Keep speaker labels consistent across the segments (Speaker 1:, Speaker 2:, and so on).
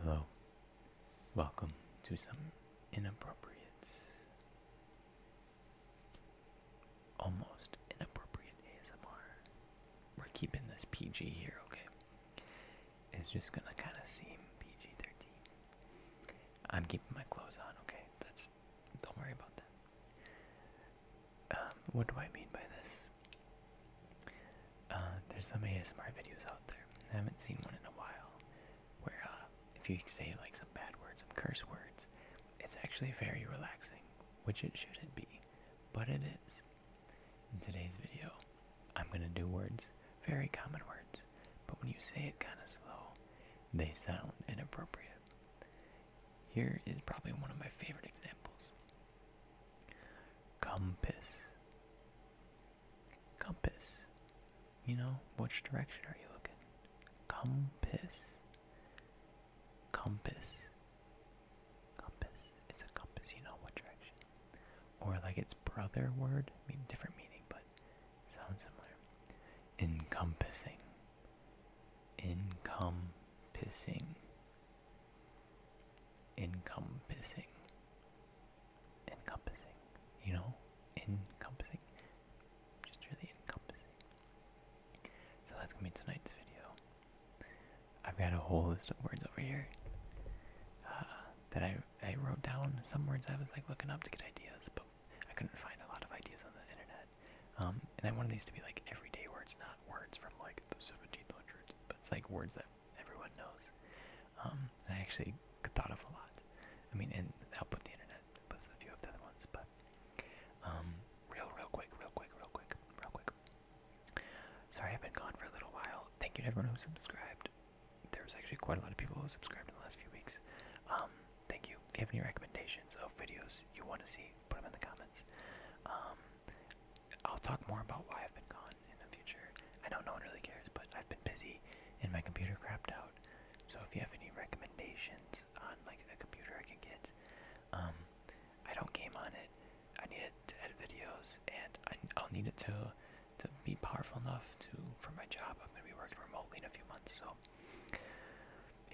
Speaker 1: Hello. Welcome to some inappropriate, almost inappropriate ASMR. We're keeping this PG here, okay? It's just gonna kind of seem PG 13. I'm keeping my clothes on, okay? That's. Don't worry about that. Um, what do I mean by this? Uh, there's some ASMR videos out there. I haven't seen one in a while where uh, if you say like some bad words, some curse words, it's actually very relaxing, which it shouldn't be, but it is. In today's video, I'm gonna do words, very common words, but when you say it kind of slow, they sound inappropriate. Here is probably one of my favorite examples. Compass. Compass. You know, which direction are you looking? Compass. Compass. Compass. It's a compass, you know what direction. Or like its brother word, I mean different meaning, but sounds similar. Encompassing. Encompassing. Encompassing encompassing, you know? Encompassing? Just really encompassing. So that's gonna be tonight's video. I've got a whole list of words over here uh, that I, I wrote down. Some words I was like looking up to get ideas, but I couldn't find a lot of ideas on the internet. Um, and I wanted these to be like everyday words, not words from like the 1700s, but it's like words that everyone knows. Um, I actually thought of a lot. I mean, and help with the internet with a few of the other ones, but um, real, real quick, real quick, real quick, real quick. Sorry, I've been gone for a little while. Thank you to everyone who subscribed. There was actually quite a lot of people who subscribed in the last few weeks. Um, thank you. If you have any recommendations of videos you want to see, put them in the comments. Um, I'll talk more about why I've been gone one in the future. I know no one really cares, but I've been busy and my computer crapped out. So if you have any recommendations on like a computer I can get, um, I don't game on it. I need it to edit videos, and I, I'll need it to to be powerful enough to for my job. I'm gonna be working remotely in a few months, so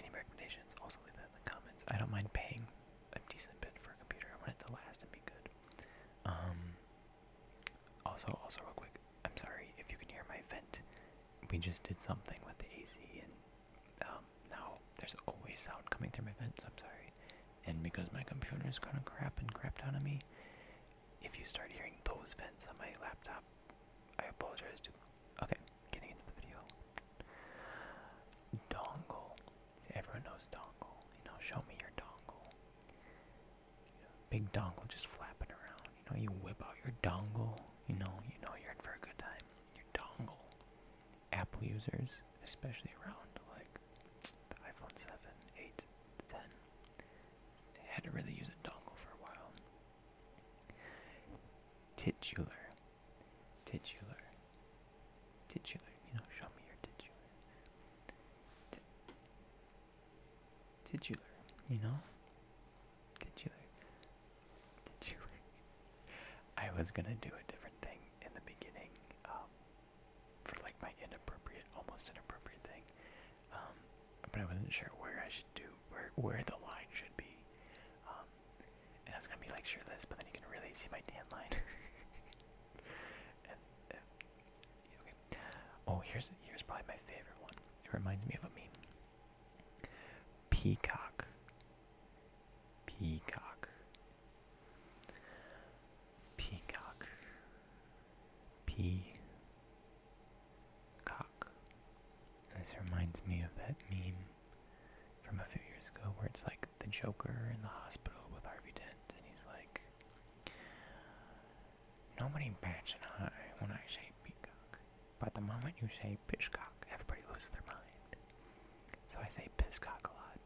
Speaker 1: any recommendations? Also leave that in the comments. I don't mind paying a decent bit for a computer. I want it to last and be good. Um, also, also real quick, I'm sorry if you can hear my vent. We just did something with the AC, and um, now there's always sound coming through my vents. I'm sorry. And because my computer is kind of crap and crap out of me, if you start hearing those vents on my laptop, I apologize to. Okay, getting into the video. Dongle. everyone knows dongle. You know, show me your dongle big dongle just flapping around. You know, you whip out your dongle. You know, you know you're in for a good time. Your dongle. Apple users, especially around like the iPhone 7, 8, 10, they had to really use a dongle for a while. Titular. Titular. Titular. You know, show me your titular. Titular, you know? Titular. Titular. I was gonna do a different thing in the beginning, um, for like my inappropriate, almost inappropriate thing. Um, but I wasn't sure where I should do, where, where the line should be. Um, and I was gonna be like, sure this, but then you can really see my tan line. Oh, here's here's probably my favorite one. It reminds me of a meme. Peacock. Peacock. Peacock. Peacock. This reminds me of that meme from a few years ago where it's like the Joker in the hospital with Harvey Dent and he's like, Nobody bats an eye when I say peacock, but the moment you say pishcock, everybody loses their mind. So I say pisscock a lot,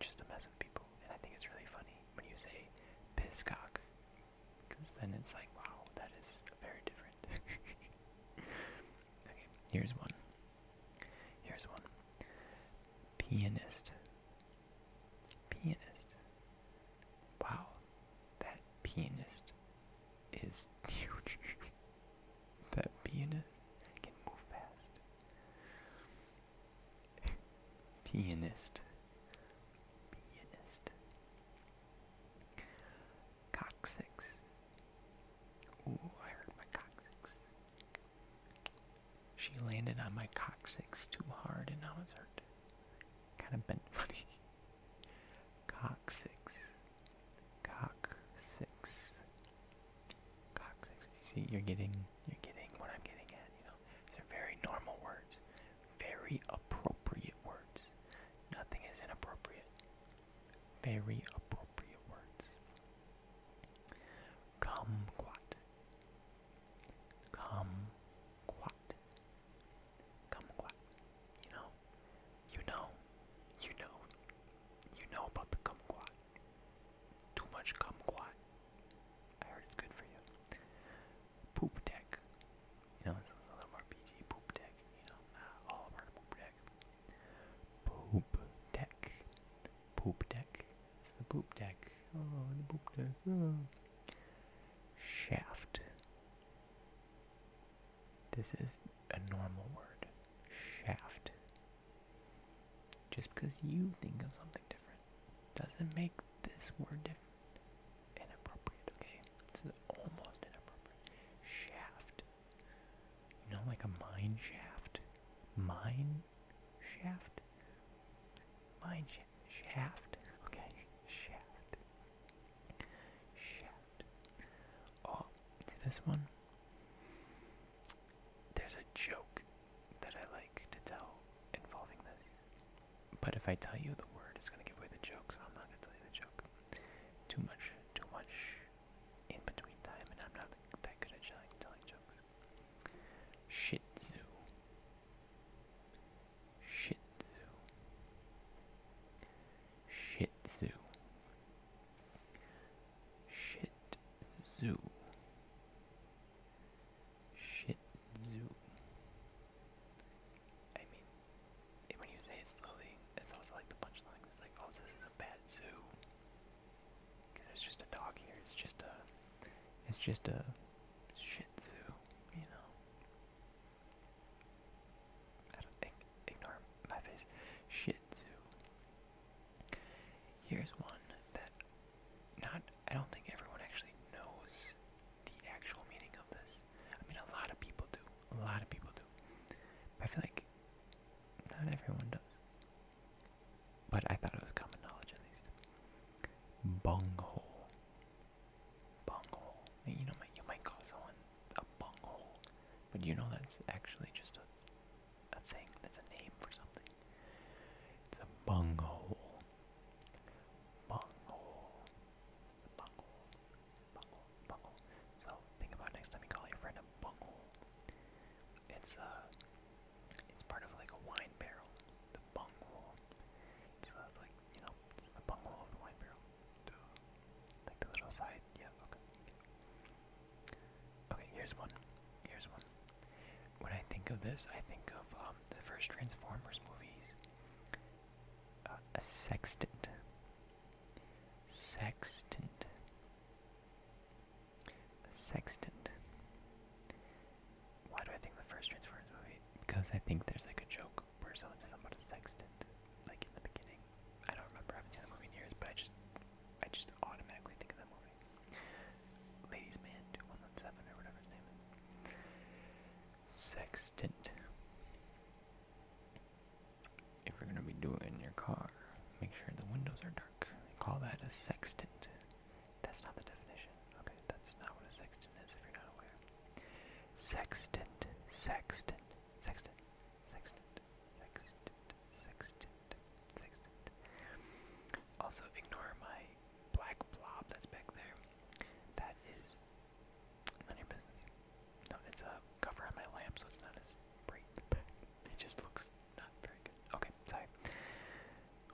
Speaker 1: just to mess with people, and I think it's really funny when you say pisscock, because then it's like, wow, that is very different. okay, here's one. Here's one. Pianist. Pianist. Wow, that pianist is huge. that pianist can move fast. Pianist. Pianist. Coccyx. Ooh, I heard my coccyx. She landed on my coccyx too hard and now it's hurt. Kind of bent funny. Coccyx. Coccyx. Coccyx. You see, you're getting, you're getting what I'm getting at, you know. These are very normal words. Very appropriate words. Nothing is inappropriate. Very appropriate words. Kumquat. Kumquat. Kumquat. You know, you know, you know, you know about the kumquat. Too much kumquat. I heard it's good for you. Poop deck. You know, a little more PG. Poop deck. You know, uh, all about poop deck. Poop deck. Poop deck. It's the poop deck. Oh, the poop deck. Oh. Shaft. This is a normal word. Shaft. Just because you think of something different doesn't make this word different. Inappropriate, okay? This is almost inappropriate. Shaft. You know, like a mine shaft? Mine shaft? Mine shaft. Okay, shaft. Shaft. Oh, this one? There's a joke that I like to tell involving this. But if I tell you the word, it's going to give away the joke, so I'm not going to tell you the joke. Too much, too much in between time, and I'm not that good at telling, jokes. Shih Shit zoo. Shit zoo. Shit zoo. Shit Tzu. I mean, when you say slowly, that's also like the punchline. It's like, oh, this is a bad zoo. Because there's just a dog here. It's just a it's just a Shih Tzu, you know. ignore my face. Shih Tzu. Here's one that not I don't think everyone actually knows the actual meaning of this. I mean, a lot of people do. A lot of people do. But I feel like not everyone does. But I thought it was common knowledge at least. Bunghole bunghole. You know, you might call someone a bunghole, but you know that's actually just a, a thing. That's a name for something. It's a bunghole. Bunghole. Bunghole. Bunghole. Bunghole. So think about next time you call your friend a bunghole. It's uh, it's part of like a wine barrel. The bunghole. It's like, you know, it's the bunghole of the wine barrel. Like the little side, yeah, okay. Okay, here's one. Here's one. When I think of this, I think of um, the first Transformers movies. Uh, a sextant. Sextant. sextant. Why do I think the first Transformers movie? Because I think there's like a joke where someone says about a sextant, like in the beginning. I don't remember. I haven't seen the movie in years, but I just, I just automatically think of that movie. Ladies Man 2117 or whatever his name is. Sextant. If you're gonna be doing it in your car, make sure the windows are dark. They call that a sextant. That's not the definition. Okay, that's not what a sextant is if you're not aware. Sextant, sextant, sextant, sextant, sextant, sextant, sextant. Also, ignore my black blob that's back there. That is none of your business. No, it's a cover on my lamp, so it's not as bright. It just looks not very good. Okay, sorry.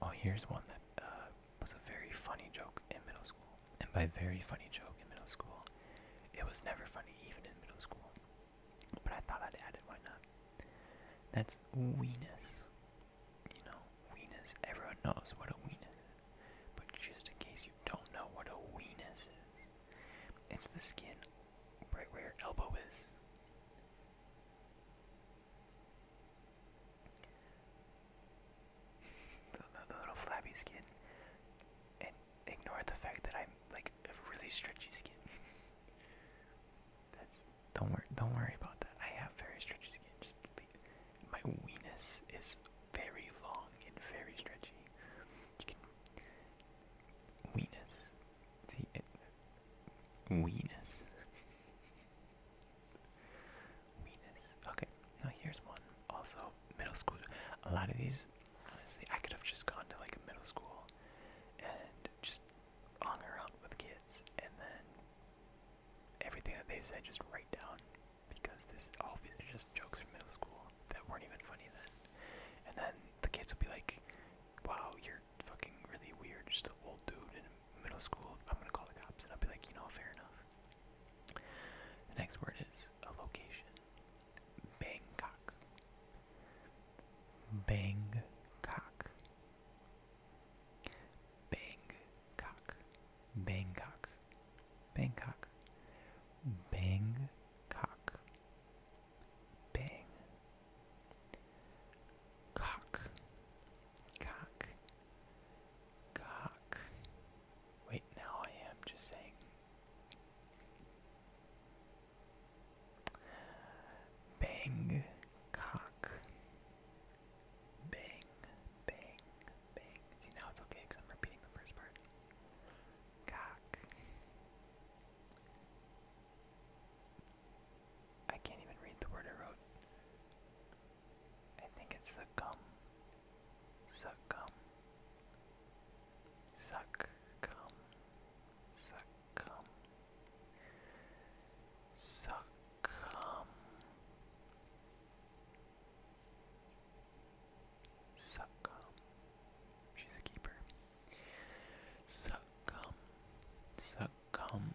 Speaker 1: Oh, here's one that uh, was a very funny joke in middle school. And by very funny joke in middle school, it was never funny even in middle school. But I thought I'd add it, why not? That's weenus. You know, weenus. Everyone knows what a weenus is. But just in case you don't know what a weenus is, it's the skin right where your elbow is the, little flabby skin, and ignore the fact that I'm like a really stretchy skin. That's don't worry, don't worry about that. I have very stretchy skin. Just leave. my weenus is very long and very stretchy. weenus, see weenus. Venus. Okay, now here's one. Also, middle school. A lot of these, honestly, I could have just gone to like a middle school and just hung around with kids, and then everything that they said just write down because this all these are just jokes from middle school that weren't even funny then. And then the kids would be like, "Wow, you're fucking really weird, just an old dude in middle school." I'm gonna call the cops, and I'll be like, "You know, fair enough." The next word is a location. Bangkok. Bangkok. Bangkok. Bangkok. Bangkok. Bangkok. Bang. Cock. Cock. Cock. Wait, now I am just saying. Bang, cock. Bang, bang, bang. See, now it's okay I'm repeating the first part. Cock. I can't even read the word I wrote. I think it's succumb. Succumb. Succumb. Succumb. Succumb. Succumb. She's a keeper. Succumb. Succumb.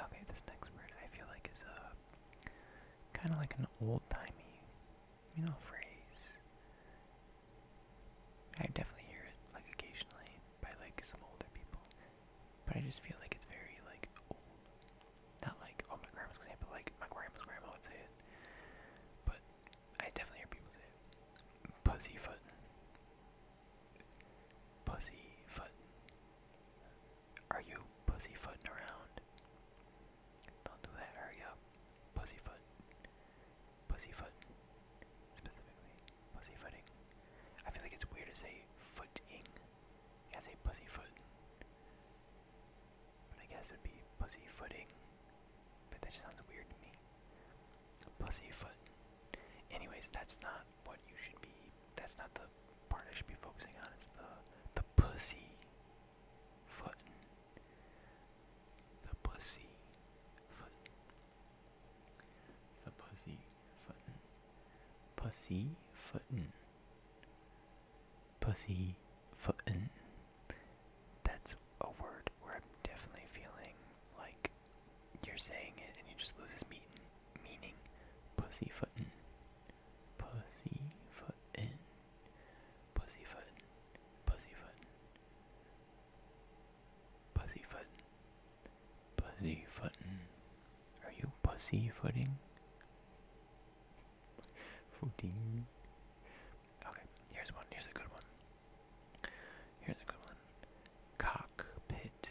Speaker 1: Okay, this next word I feel like is a uh, kind of like an old-timey, you know, phrase. I definitely hear it like occasionally by like some older people, but I just feel like it's very like old. Not like oh my grandma's gonna say it, but like my grandma's grandma would say it. But I definitely hear people say it. Pussyfootin'. Pussyfoot. Are you pussyfooting around? Don't do that, hurry up. Pussyfoot. Pussyfoot. Specifically, pussyfooting. I feel like it's weird to say footing. You gotta say pussyfoot. But I guess it'd be pussyfooting. But that just sounds weird to me. Pussyfoot. Anyways, that's not what you should be. That's not the part I should be focusing on. It's the the pussy footin'. The pussy footin'. It's the pussy footin'. Pussy footin'. Pussy footin'. That's a word where I'm definitely feeling like you're saying it and you just lose his meaning meaning pussyfootin', pussyfootin', pussyfootin', pussyfootin', pussyfootin', pussyfootin'. Are you pussyfooting? Footing. Okay, here's one. Here's a good one. Here's a good one. Cockpit.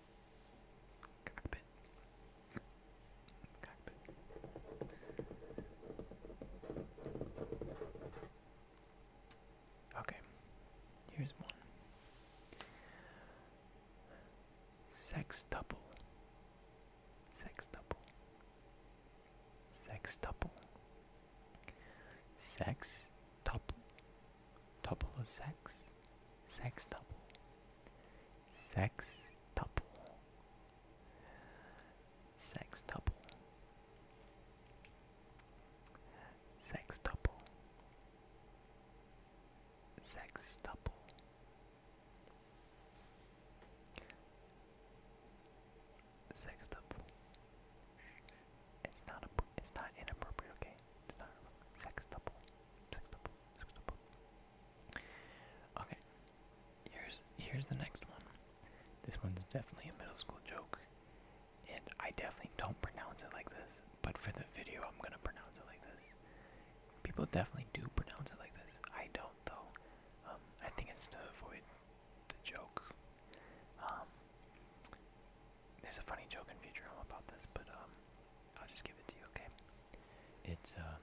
Speaker 1: Cockpit. Cockpit. Okay, here's one. double. Sex double. Sex. double. Tuple of sex. Sextuple. Sextuple. Sextuple. Sextuple. Sextuple. Sextuple. It's not a. It's not inappropriate. Okay. It's not sextuple. Sextuple. Sextuple. Okay. Here's here's the next one. This one's definitely a middle school joke. And I definitely don't pronounce it like this, but for the video I'm gonna pronounce it like this. People definitely do pronounce it like this. I don't though. Um, I think it's to avoid the joke. Um, there's a funny joke in Futurama about this, but um, I'll just give it to you, okay? It's uh,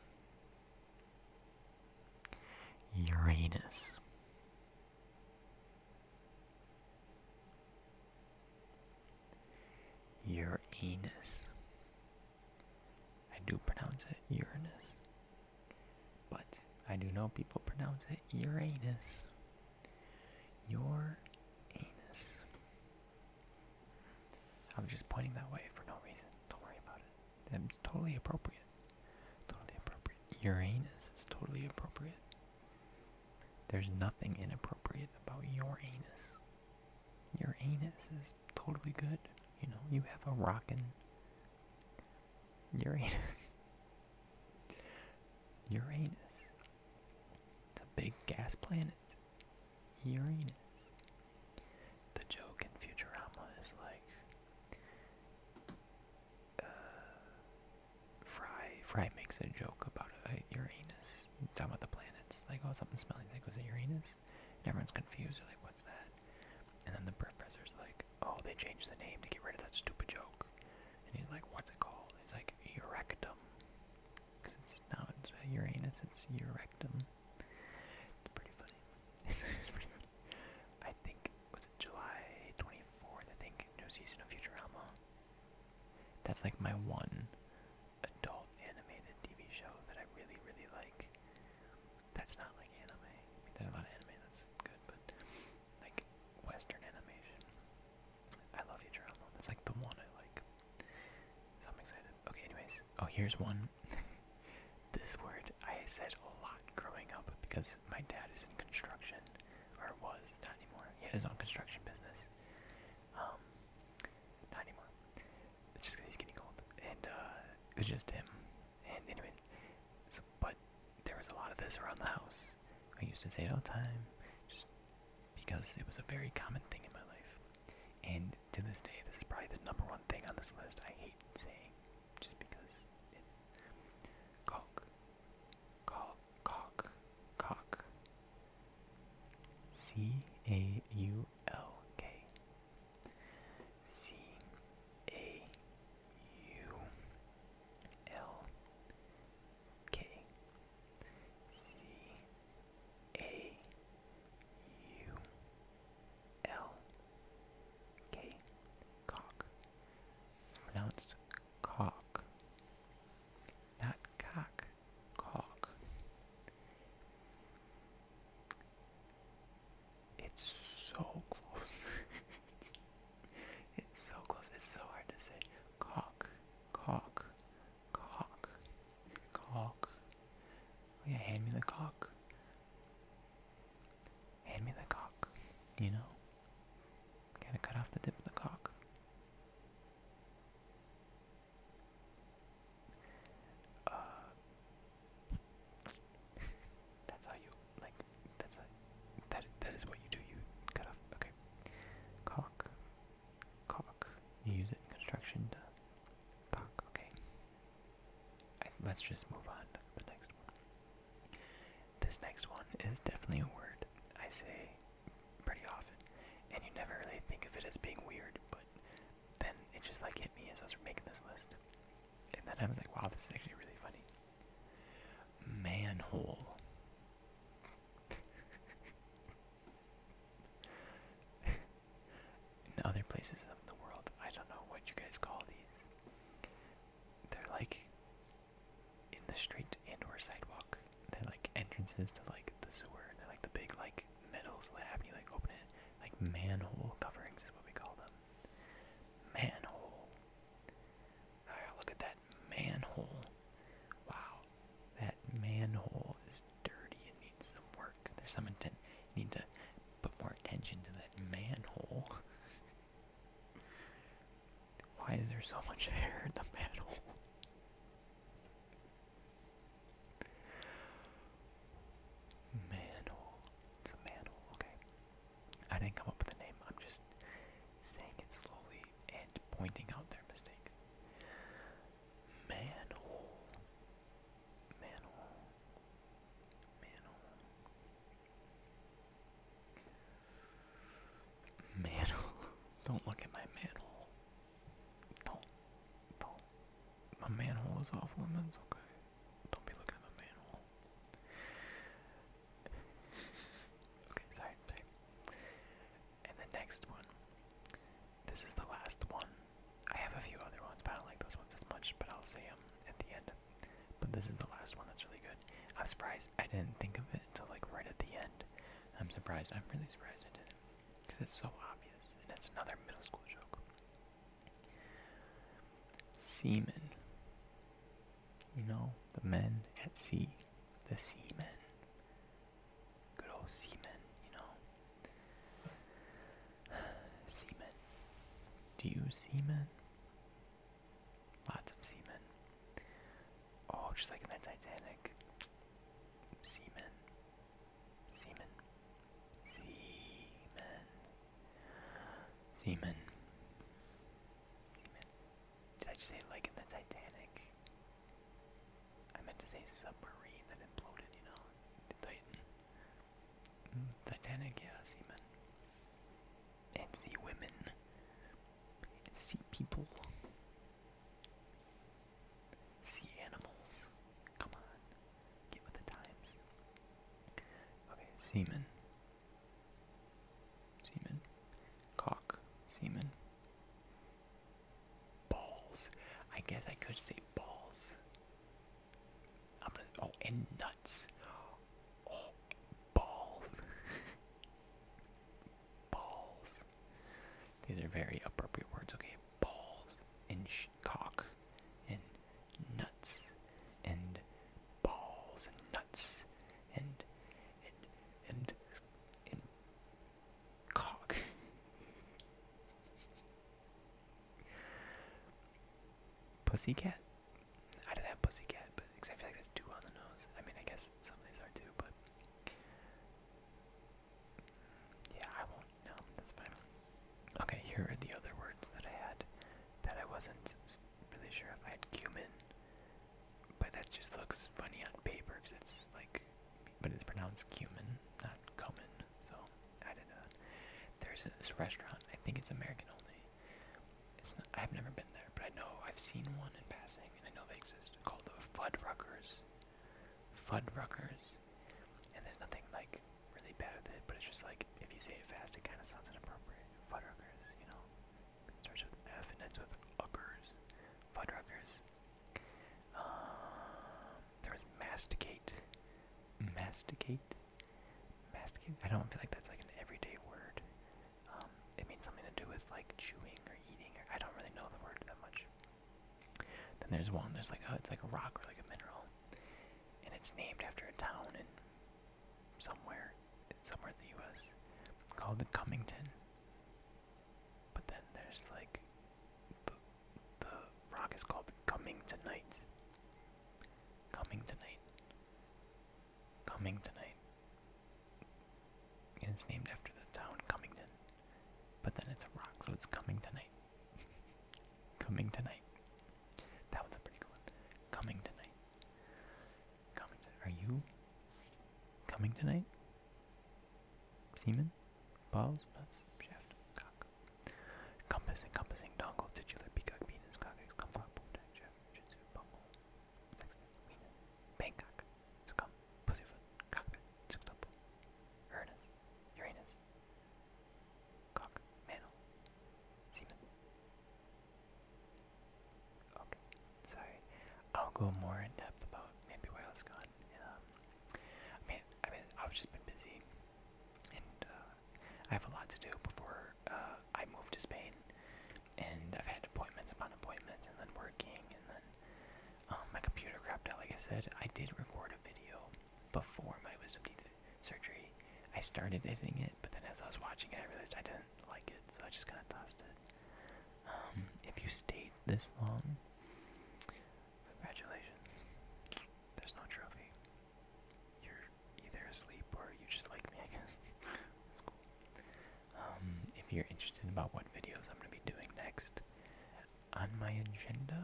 Speaker 1: Uranus. Uranus. I do pronounce it Uranus. But I do know people pronounce it Uranus. Your anus. I'm just pointing that way for no reason. Don't worry about it. It's totally appropriate. Totally appropriate. Uranus is totally appropriate. There's nothing inappropriate about your anus. Your anus is totally good. You know, you have a rockin' Uranus. Uranus. It's a big gas planet. Uranus. The joke in Futurama is like uh, Fry Fry makes a joke about a Uranus, talking about the planets, like oh something smelling like was it Uranus? And everyone's confused, they're like, what's that? And then the professor's like, Oh, they changed the name to get rid of that stupid joke. And he's like, What's it called? And he's like, Urectum. Because it's not it's Uranus, it's Urectum. It's pretty funny. it's pretty funny. I think was it July 24th? I think new season of Futurama. That's like my one adult animated TV show that I really, really like. That's not like anime. there's a lot of anime that's good, but like Western animation. I love Futurama. That's like the one I like. So I'm excited. Okay, anyways. Oh, here's one um, this word I said a lot growing up because my dad is in construction, or was, not anymore. He had his own construction business. Um, not anymore. Just because he's getting old. And uh, it was just him. And anyways, so, but there was a lot of this around the house. I used to say it all the time, just because it was a very common thing in my life. And to this day, this is probably the number one thing on this list I hate saying, just because it's caulk, caulk, caulk, caulk, C A U L K, C A U L K, C A U L K cock. Pronounced cock. Not cock, cock. It's so close. it's, so close. It's so hard to say. Cock, cock, cock, cock, Oh, yeah, hand me the cock. Hand me the cock. You know? Gotta cut off the tip of the cock. Uh, that's how you like. That's that. That is what you do. You cut off. Okay. Cock. Cock. You use it in construction to Okay. Let's just move on to the next one. This next one is definitely a word I say pretty often, and you never really think of it as being weird, but then it just like hit me as I was making this list. And then I was like, wow, this is actually really funny. Manhole. in other places of the world. I don't know what you guys call these. They're like in the street and or sidewalk. They're like entrances to like the sewer. They're like the big like metal slab. You like open it. Like manhole coverings is what we call them. Manhole. Ah, look at that manhole. Wow. That manhole is dirty and needs some work. There's some intent. need to put more attention to that manhole. Why is there so much hair in the manhole? Manhole. It's a manhole, okay. I didn't come up with a name, I'm just saying it slowly and pointing out their mistakes. Manhole. Manhole. Manhole. Manhole. Don't look at my manhole. Don't. Don't. My manhole is off limits, okay? Don't be looking at my manhole. okay, sorry, sorry. And the next one. This is the last one. I have a few other ones, but I don't like those ones as much, but I'll say them at the end. But this is the last one that's really good. I'm surprised I didn't think of it until like right at the end. I'm surprised. I'm really surprised I didn't. Because it's so obvious. And it's another middle school joke. Seamen. You know, the men at sea. The seamen. Good old seamen, you know. Semen. Do you semen? Lots of semen. Oh, just like in that Titanic. Semen. Semen. Semen. Semen. Semen. Did I just say like in the Titanic? I meant to say submarine that imploded, you know? The Titan. Titanic, yeah, seamen. And women. And people. Sea animals. Come on. Get with the times. Okay, seamen. Seamen. Cock. Seamen. Balls. I guess I could say balls. Oh, and nuts. Oh, balls. balls. These are very appropriate words. Okay, balls and cock and nuts and balls and nuts and and and and cock. Pussy cat. I didn't have Pussycat, but because I feel like that's too on the nose. I mean, I guess some of these are too, but yeah, I won't. No, that's fine. Okay, here are the other words that I had that I wasn't really sure if I had cumin, but that just looks funny on paper because it's like, but it's pronounced cumin, not cumin so I did that. There's this restaurant. I think it's American only. It's not, I've never been there, but I know I've seen one in passing, and I know they exist. Called the Fuddruckers. Fuddruckers, and there's nothing like really bad with it, but it's just like if you say it fast, it kind of sounds inappropriate. Fuddruckers, you know, it starts with F and ends with uckers. Fuddruckers. Um, there was masticate. Masticate. Masticate? I don't feel like that's like an everyday word. Um, it means something to do with like chewing or eating. I don't really know the word that much. Then there's one. There's like a, it's like a rock or like a mineral, and it's named after a town in somewhere, somewhere in the U.S. called the Cumington. But then there's like the rock is called Coming Tonight. Coming Tonight. Coming Tonight. And it's named after the town Cummington. But then it's a rock, so it's Coming Tonight. Coming Tonight. That one's a pretty good one. Coming Tonight. Coming to Are you coming tonight? Semen? Balls? Nuts? Shaft? Cock? Compass encompassing dongle, titular, peacock, penis, cockers, kumquat, boomtack, jab, jitsu, bumble, sexton, wiener, bangkok, succumb, pussyfoot, cockpit, sextuple, uranus, uranus, cock, mantle, semen. Okay, sorry. I'll go more in depth about maybe why I was gone. Um, I mean, I mean, I've just been busy, and uh, I have a lot to do before uh, I move to Spain, and I've had appointments upon appointments, and then working, and then um, my computer crapped out. Like I said, I did record a video before my wisdom teeth surgery. I started editing it, but then as I was watching it, I realized I didn't like it, so I just kind of tossed it. Um, if you stayed this long, congratulations. There's no trophy you're either asleep or you just like me, I guess. That's cool. Um, if you're interested about what videos I'm going to be doing next, on my agenda,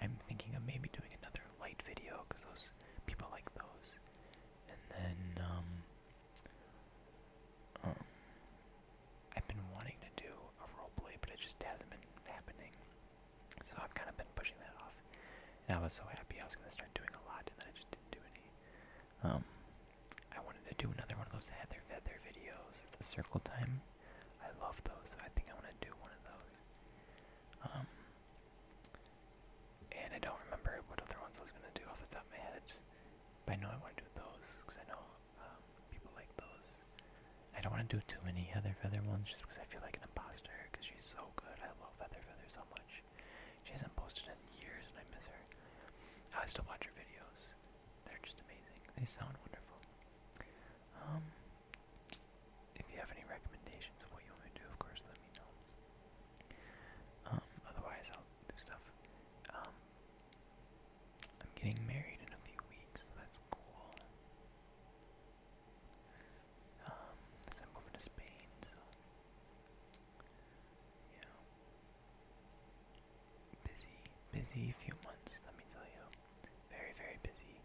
Speaker 1: I'm thinking of maybe doing another light video because those people like those. And then, um, um, I've been wanting to do a roleplay, but it just hasn't been happening. So I've kind of been pushing that off. And I was so happy I was going to start doing a lot, and then I just didn't do any. Um, I wanted to do another one of those Heather Feather videos, the circle time. I love those, so I think I want to do one of those. Um, and I don't remember what other ones I was going to do off the top of my head. But I know I want to do those, because I know um, people like those. I don't want to do too many Heather Feather ones, just because I feel like an imposter, because she's so good. I love Feather Feather so much. She hasn't posted in years and I miss her. I still watch her videos. They're just amazing. They sound wonderful. Um, if you have any recommendations of what you want me to do, of course, let me know. Um, otherwise, I'll do stuff. Um, I'm getting married in a few weeks, that's cool um, as moving to Spain, so, you busy, busy few months, let me tell you, very, very busy,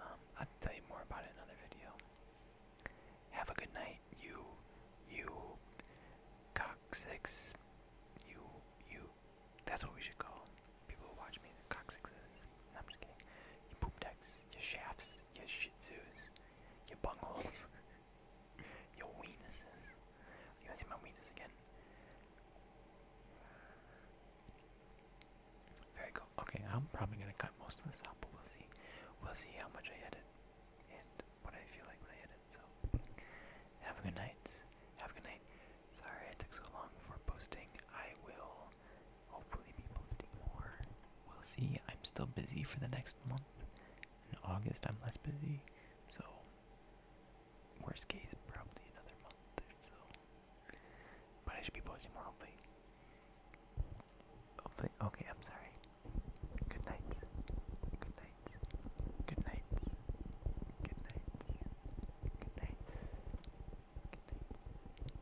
Speaker 1: um, I'll tell you more about it another video, have a good night, you, you, coccyx, you, you, that's what we should call people who watch me, the I'm just kidding, you poop decks, your shafts, your shitzus, your bungles, your weenuses. You wanna see my weenus again? Very cool. Okay, I'm probably gonna cut most of this out, but we'll see. We'll see how much I edit and what I feel like when I edit. So, have a good night. Have a good night. Sorry it took so long for posting. I will hopefully be posting more. We'll see. I'm still busy for the next month. In August, I'm less busy, so worst case, probably another month. or So, but I should be posting more hopefully. Hopefully, okay. I'm sorry. Good nights. Good nights. Good nights. Good night. Good night.